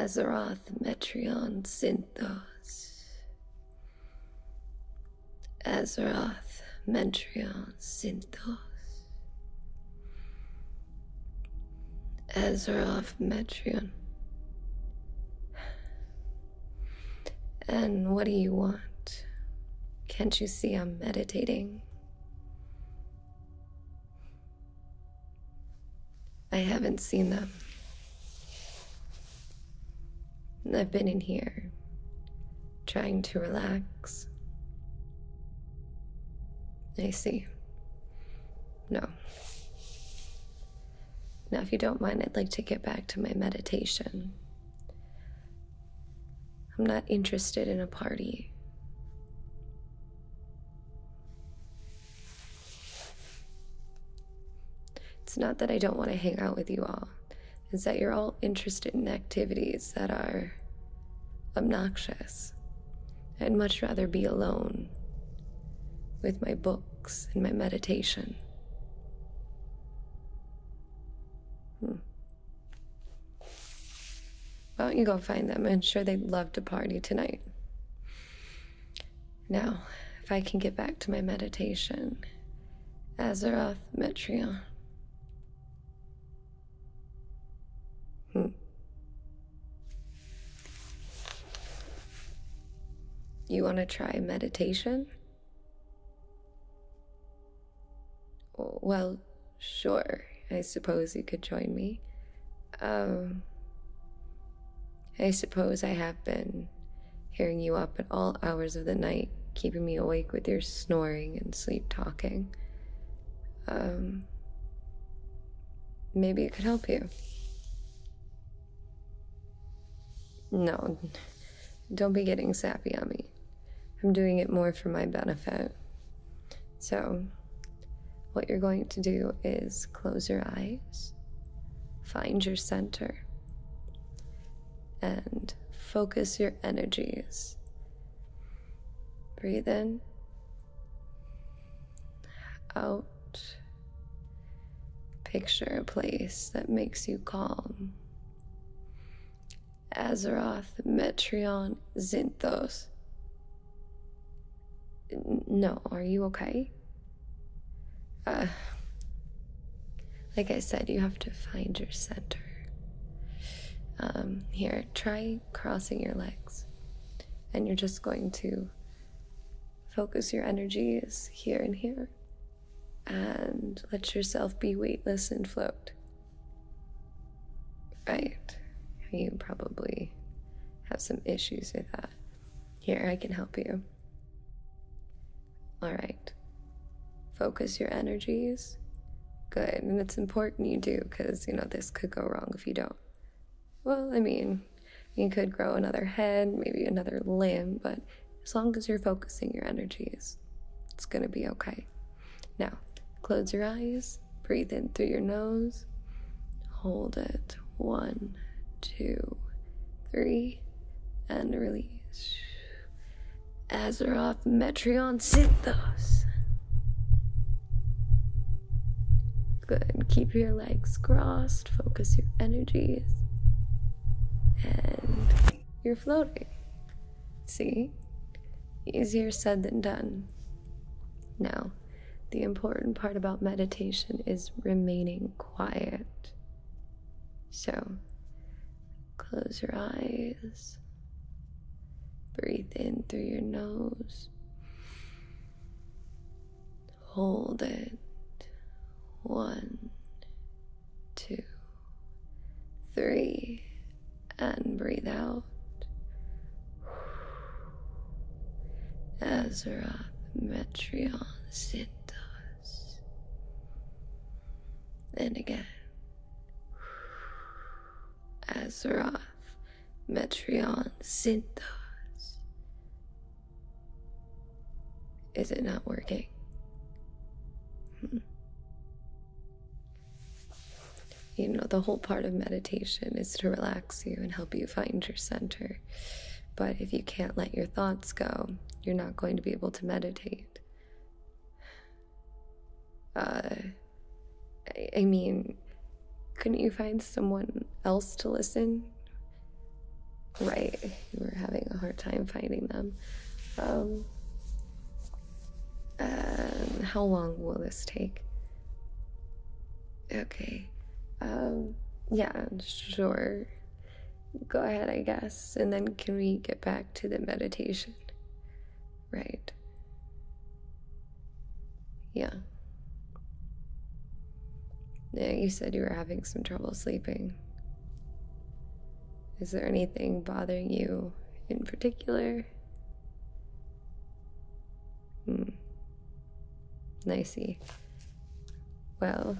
Azeroth Metreon Synthos. Azeroth Metreon Synthos. Azeroth Metreon. And what do you want? Can't you see I'm meditating? I haven't seen them. I've been in here, trying to relax. I see. No. Now, if you don't mind, I'd like to get back to my meditation. I'm not interested in a party. It's not that I don't want to hang out with you all, it's that you're all interested in activities that are obnoxious. I'd much rather be alone with my books and my meditation. Hmm. Why don't you go find them? I'm sure they'd love to party tonight. Now, if I can get back to my meditation, Azeroth Metreon. Hmm. You want to try meditation? Well, sure, I suppose you could join me. Um, I suppose I have been hearing you up at all hours of the night, keeping me awake with your snoring and sleep talking. Um, maybe it could help you. No, don't be getting sappy on me. I'm doing it more for my benefit. So, what you're going to do is close your eyes, find your center, and focus your energies. Breathe in, out. Picture a place that makes you calm Azeroth, Metreon, Zinthos. No, are you okay? Uh, like I said, you have to find your center. Um, here, try crossing your legs. And you're just going to focus your energies here and here. And let yourself be weightless and float. Right. You probably have some issues with that. Here, I can help you. All right. Focus your energies. Good. And it's important you do because, you know, this could go wrong if you don't. Well, I mean, you could grow another head, maybe another limb, but as long as you're focusing your energies, it's going to be okay. Now, close your eyes, breathe in through your nose, hold it. One, two, three, and release. Azeroth Metreon Synthos. Good. Keep your legs crossed, focus your energies, and you're floating. See? Easier said than done. Now, the important part about meditation is remaining quiet. So, close your eyes, breathe in through your nose, hold it. One, two three, and breathe out. Azeroth Metreon Sintos. And again. Azeroth Metreon Sintos. Is it not working? Hmm. You know, the whole part of meditation is to relax you and help you find your center. But if you can't let your thoughts go, you're not going to be able to meditate. Uh, I, mean, couldn't you find someone else to listen? Right, you were having a hard time finding them. Um, uh, how long will this take? Okay. Um, yeah, sure. Go ahead, I guess. And then can we get back to the meditation? Right. Yeah. Yeah, you said you were having some trouble sleeping. Is there anything bothering you in particular? here. Hmm. Nicey. Well,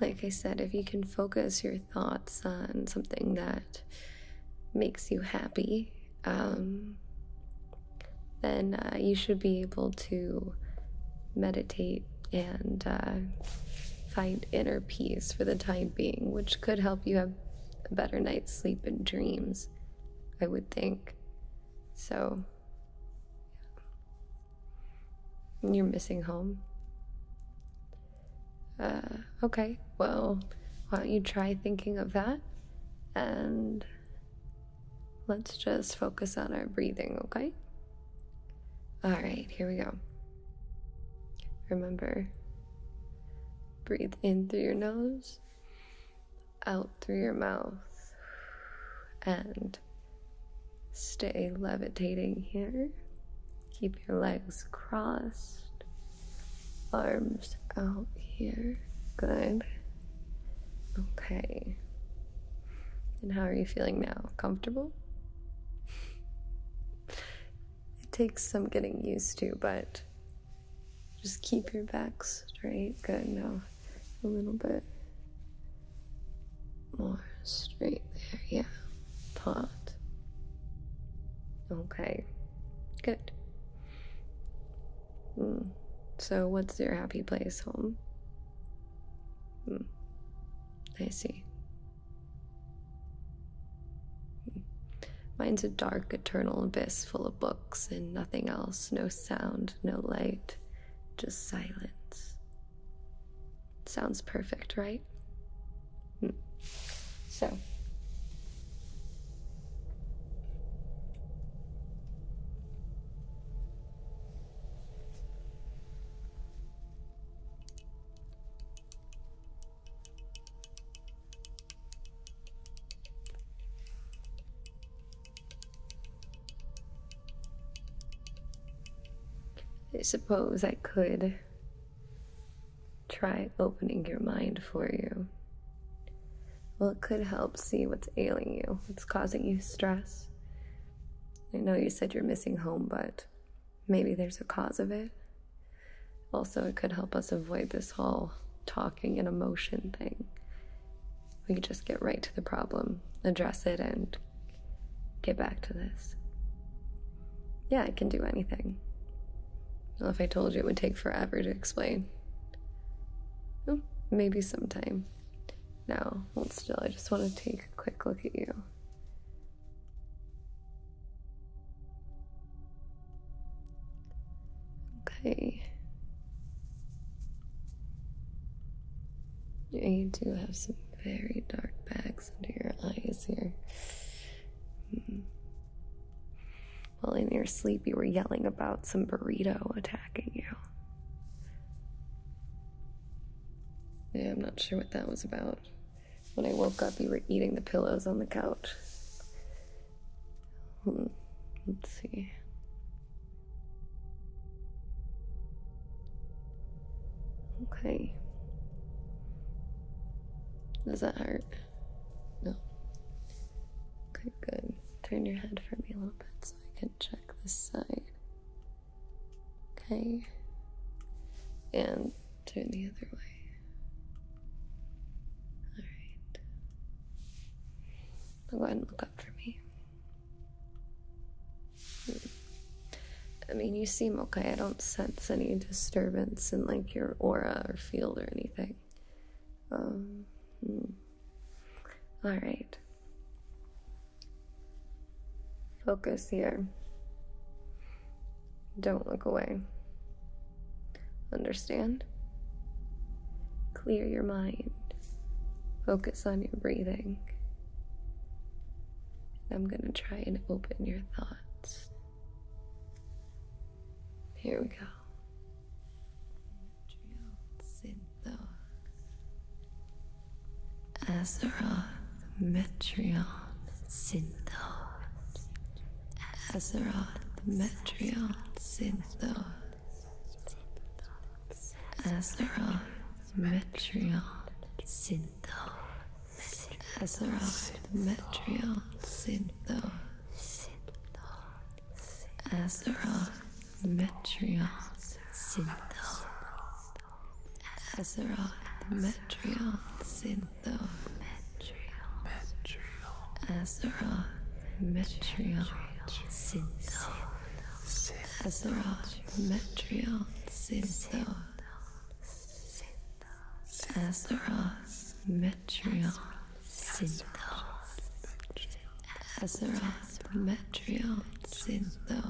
like I said, if you can focus your thoughts on something that makes you happy, um, then uh, you should be able to meditate and uh, find inner peace for the time being, which could help you have a better night's sleep and dreams, I would think. So, You're missing home. Uh, okay, well, why don't you try thinking of that? And let's just focus on our breathing, okay? All right, here we go. Remember, breathe in through your nose, out through your mouth, and stay levitating here. Keep your legs crossed, arms out here. Good. Okay. And how are you feeling now? Comfortable? It takes some getting used to, but just keep your back straight. Good. Now a little bit more straight there. Yeah. Pot. Okay. Good. Hmm, so, what's your happy place home? Hmm, I see. Hmm. Mine's a dark, eternal abyss full of books and nothing else, no sound, no light, just silence. Sounds perfect, right? Hmm. So. I suppose I could try opening your mind for you. Well, it could help see what's ailing you, what's causing you stress. I know you said you're missing home, but Maybe there's a cause of it. Also, it could help us avoid this whole talking and emotion thing. We could just get right to the problem, address it, and get back to this. Yeah, I can do anything. Well, if I told you, it would take forever to explain. maybe sometime. Now, hold still. I just want to take a quick look at you. Okay. Yeah, you do have some very dark bags under your eyes here. Hmm. Well, in your sleep, you were yelling about some burrito attacking you. Yeah, I'm not sure what that was about. When I woke up, you were eating the pillows on the couch. Hmm, let's see. Okay. Does that hurt? No. Okay, good. Turn your head for me a little bit so I can check this side. Okay. And turn the other way. Alright. go ahead and look up for me. Hmm. I mean, you seem okay. I don't sense any disturbance in like your aura or field or anything. Um, hmm. All right. Focus here. Don't look away. Understand? Clear your mind. Focus on your breathing. I'm going to try and open your thoughts. Here we go. Azeroth, Metreon, Synthos. Azeroth, Metreon, Synthos. Azeroth, Metreon, Synthos. Azeroth, Metreon, Synthos. Azeroth, Metreon, Synthos. Azeroth Metreon Sintho Azeroth Metreon Sintho Azeroth Metreon Sintho Azeroth Metreon Sintho Azeroth Metreon Sintho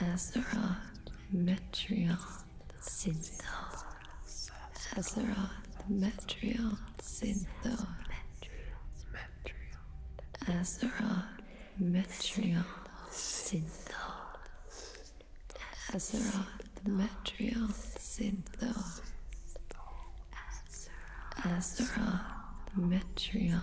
Azeroth Metrial Sindor Azeroth Metrial Sindor Azeroth Metrial Sindor Azeroth Metrial Sindor Azeroth Metrial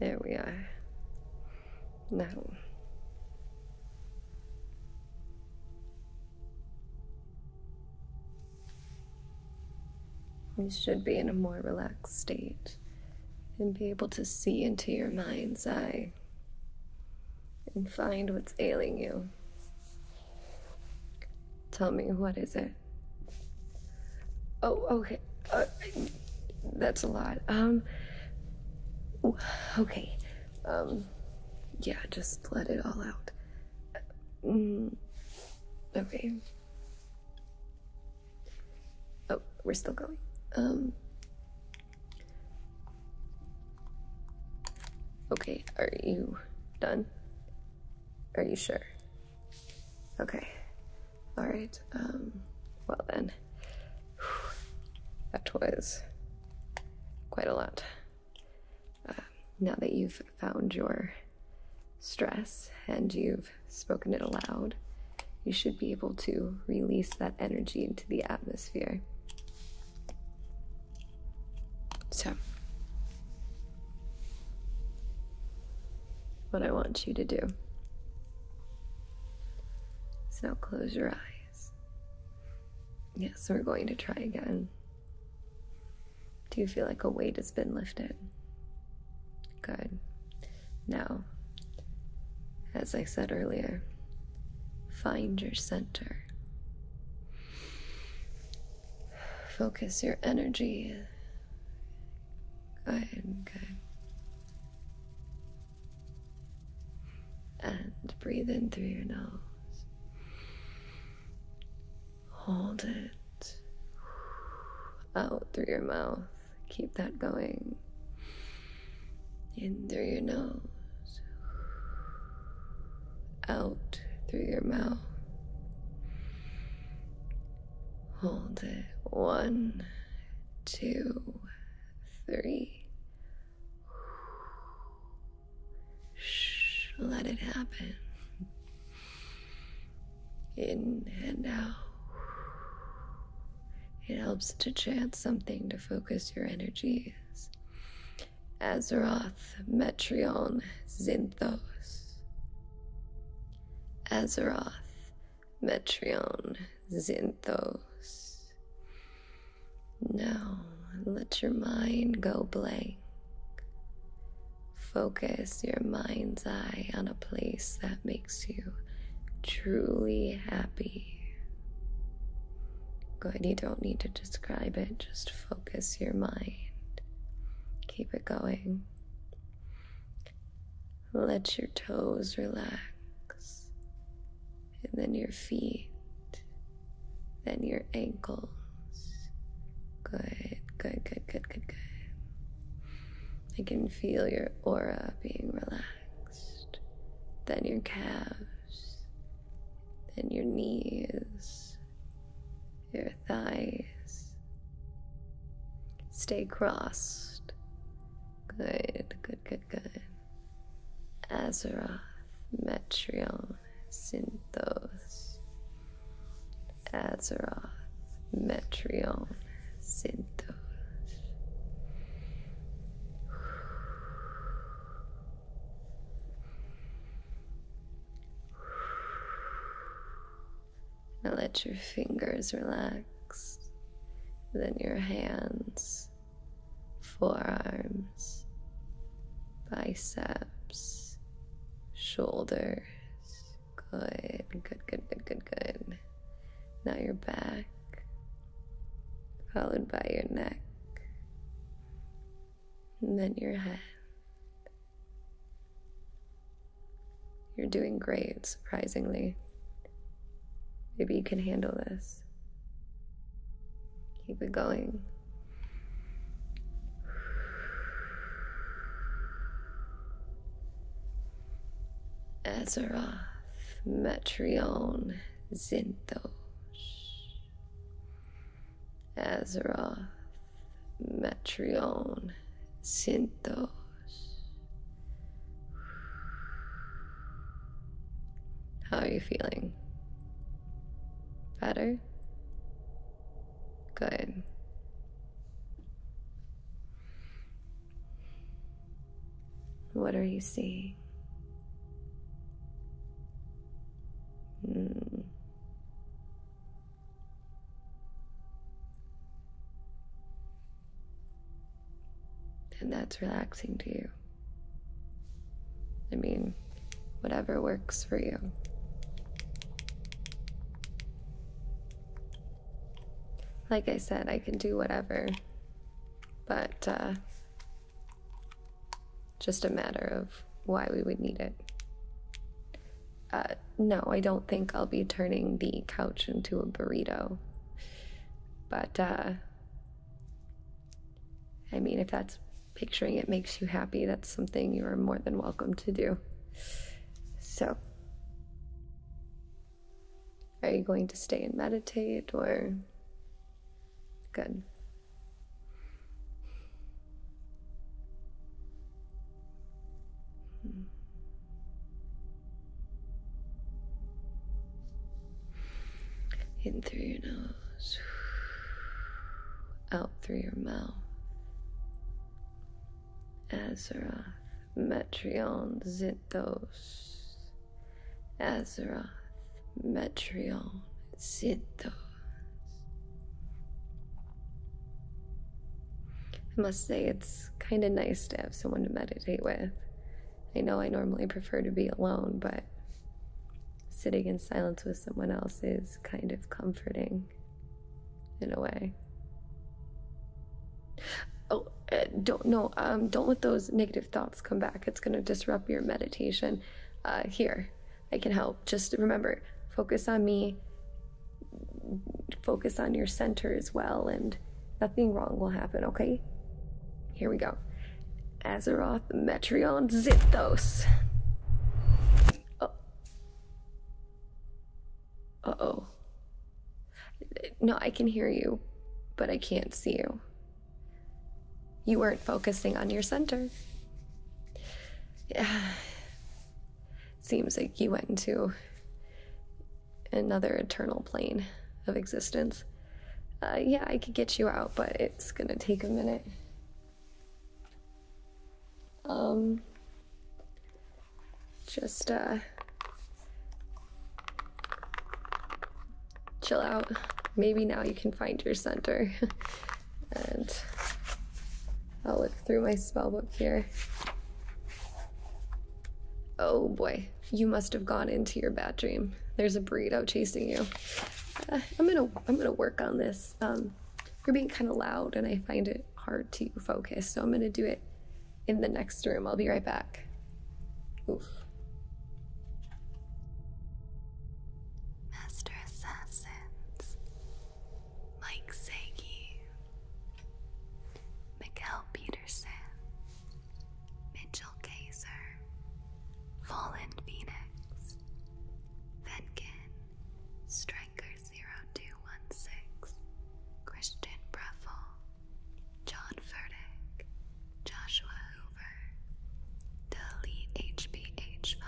There we are. Now. You should be in a more relaxed state and be able to see into your mind's eye and find what's ailing you. Tell me, what is it? Oh, okay. Uh, that's a lot. Um. Okay. Um. Yeah, just let it all out. Mm, okay. Oh, we're still going. Um. Okay, are you done? Are you sure? Okay. All right. Um, well then, that was quite a lot. Uh, now that you've found your stress and you've spoken it aloud, you should be able to release that energy into the atmosphere. So, what I want you to do so now close your eyes. Yes, we're going to try again. Do you feel like a weight has been lifted? Good. Now, as I said earlier, find your center. Focus your energy Good, good. And breathe in through your nose. Hold it out through your mouth. Keep that going. In through your nose. Out through your mouth. Hold it. One two, three. Shh, let it happen. In and out. It helps to chant something to focus your energies. Azeroth, Metrion, Zinthos. Azeroth, Metreon Xynthos. Now let your mind go blank. Focus your mind's eye on a place that makes you truly happy. Good, you don't need to describe it, just focus your mind. Keep it going. Let your toes relax, and then your feet, then your ankles. Good, good, good, good, good, good. I can feel your aura being relaxed. Then your calves, then your knees, your thighs, Stay crossed. Good, good, good, good. Azeroth, Metreon, Synthos. Azeroth, Metreon, Synthos. Now let your fingers relax, then your hands, forearms, biceps, shoulders. Good, good, good, good, good, good. Now your back, followed by your neck, and then your head. You're doing great, surprisingly. Maybe you can handle this. Keep it going. Azeroth, Metreon, Zinthos. Azeroth, Metreon Synthos. How are you feeling? Better? Good. What are you seeing? Mm. And that's relaxing to you. I mean, whatever works for you. Like I said, I can do whatever, but uh, just a matter of why we would need it. Uh, no, I don't think I'll be turning the couch into a burrito. But, uh, I mean, if that's picturing it makes you happy, that's something you are more than welcome to do. So, are you going to stay and meditate or. Good. Hmm. In through your nose, out through your mouth. Azeroth, Metrion Zinthos. Azeroth, Metrion Zinthos. I must say, it's kind of nice to have someone to meditate with. I know I normally prefer to be alone, but sitting in silence with someone else is kind of comforting in a way. Oh, uh, don't no, um, don't let those negative thoughts come back. It's going to disrupt your meditation. Uh, here, I can help. Just remember, focus on me focus on your center as well, and nothing wrong will happen, okay? Here we go. Azeroth Metreon Zithos. Uh oh. No, I can hear you, but I can't see you. You weren't focusing on your center. Yeah seems like you went into another eternal plane of existence. Uh, yeah, I could get you out, but it's gonna take a minute. Um, just uh, chill out. Maybe now you can find your center and I'll look through my spell book here. Oh boy, you must have gone into your bad dream. There's a burrito chasing you. Uh, I'm gonna I'm gonna work on this. Um, you're being kind of loud, and I find it hard to focus, so I'm gonna do it in the next room. I'll be right back. Oof. Master assassins, Mike Segi, Mikkel Peterson, Mitchell Kaiser, Fallen Phoenix, Venkin, Striker0216, Christian Breffel, John Furtick, Joshua Hoover, Delete HBH5,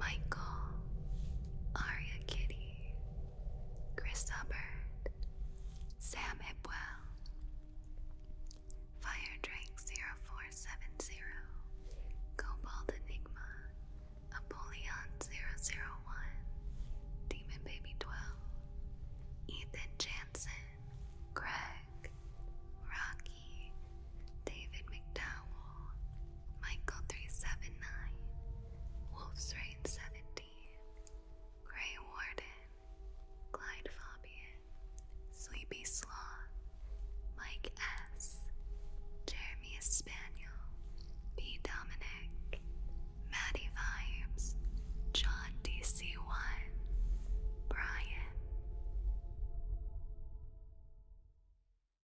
Michael, Ari Kitty, Chris Hubbard, Sam Hipwell, Firedrake0470, Cobalt Enigma, Apollyon001, Demon Baby 12, Ethan Jansen, Greg, Rocky, David McDowell, Michael 379, Wolf's Rain 17, Grey Warden, Clyde Fabian, Sleepy Sloth, Mike S, Jeremy Spaniel, B. Dominic, Maddie Vibes, John DC1, Brian.